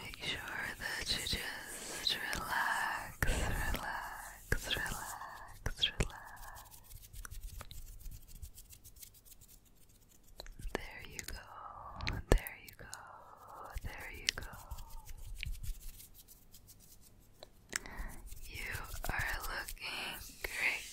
Make sure that you just relax, relax relax, relax, relax. There you go, there you go, there you go. You are looking great,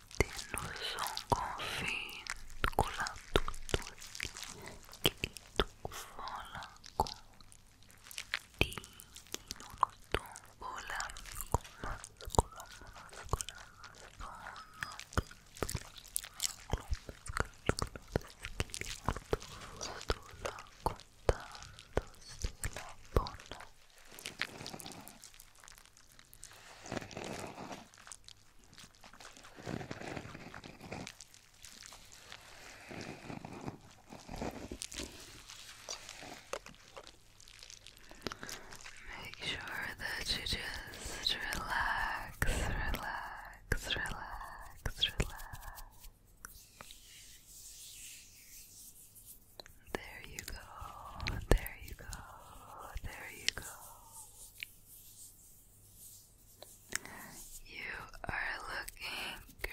nos on confine con la tutto chito vola con di non tutto vola con la scola scola con contando se la buona Make sure that you just relax, relax, relax, relax. There you go. There you go. There you go. You are looking great.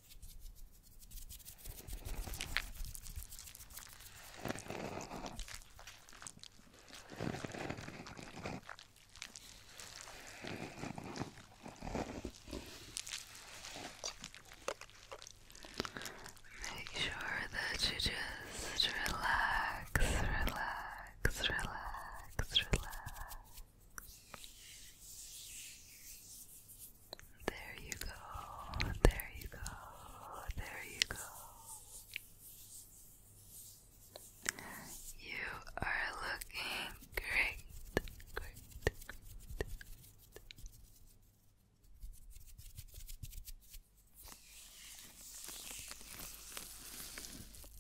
Make sure that you just relax, relax, relax, relax. There you go, there you go, there you go. You are looking great,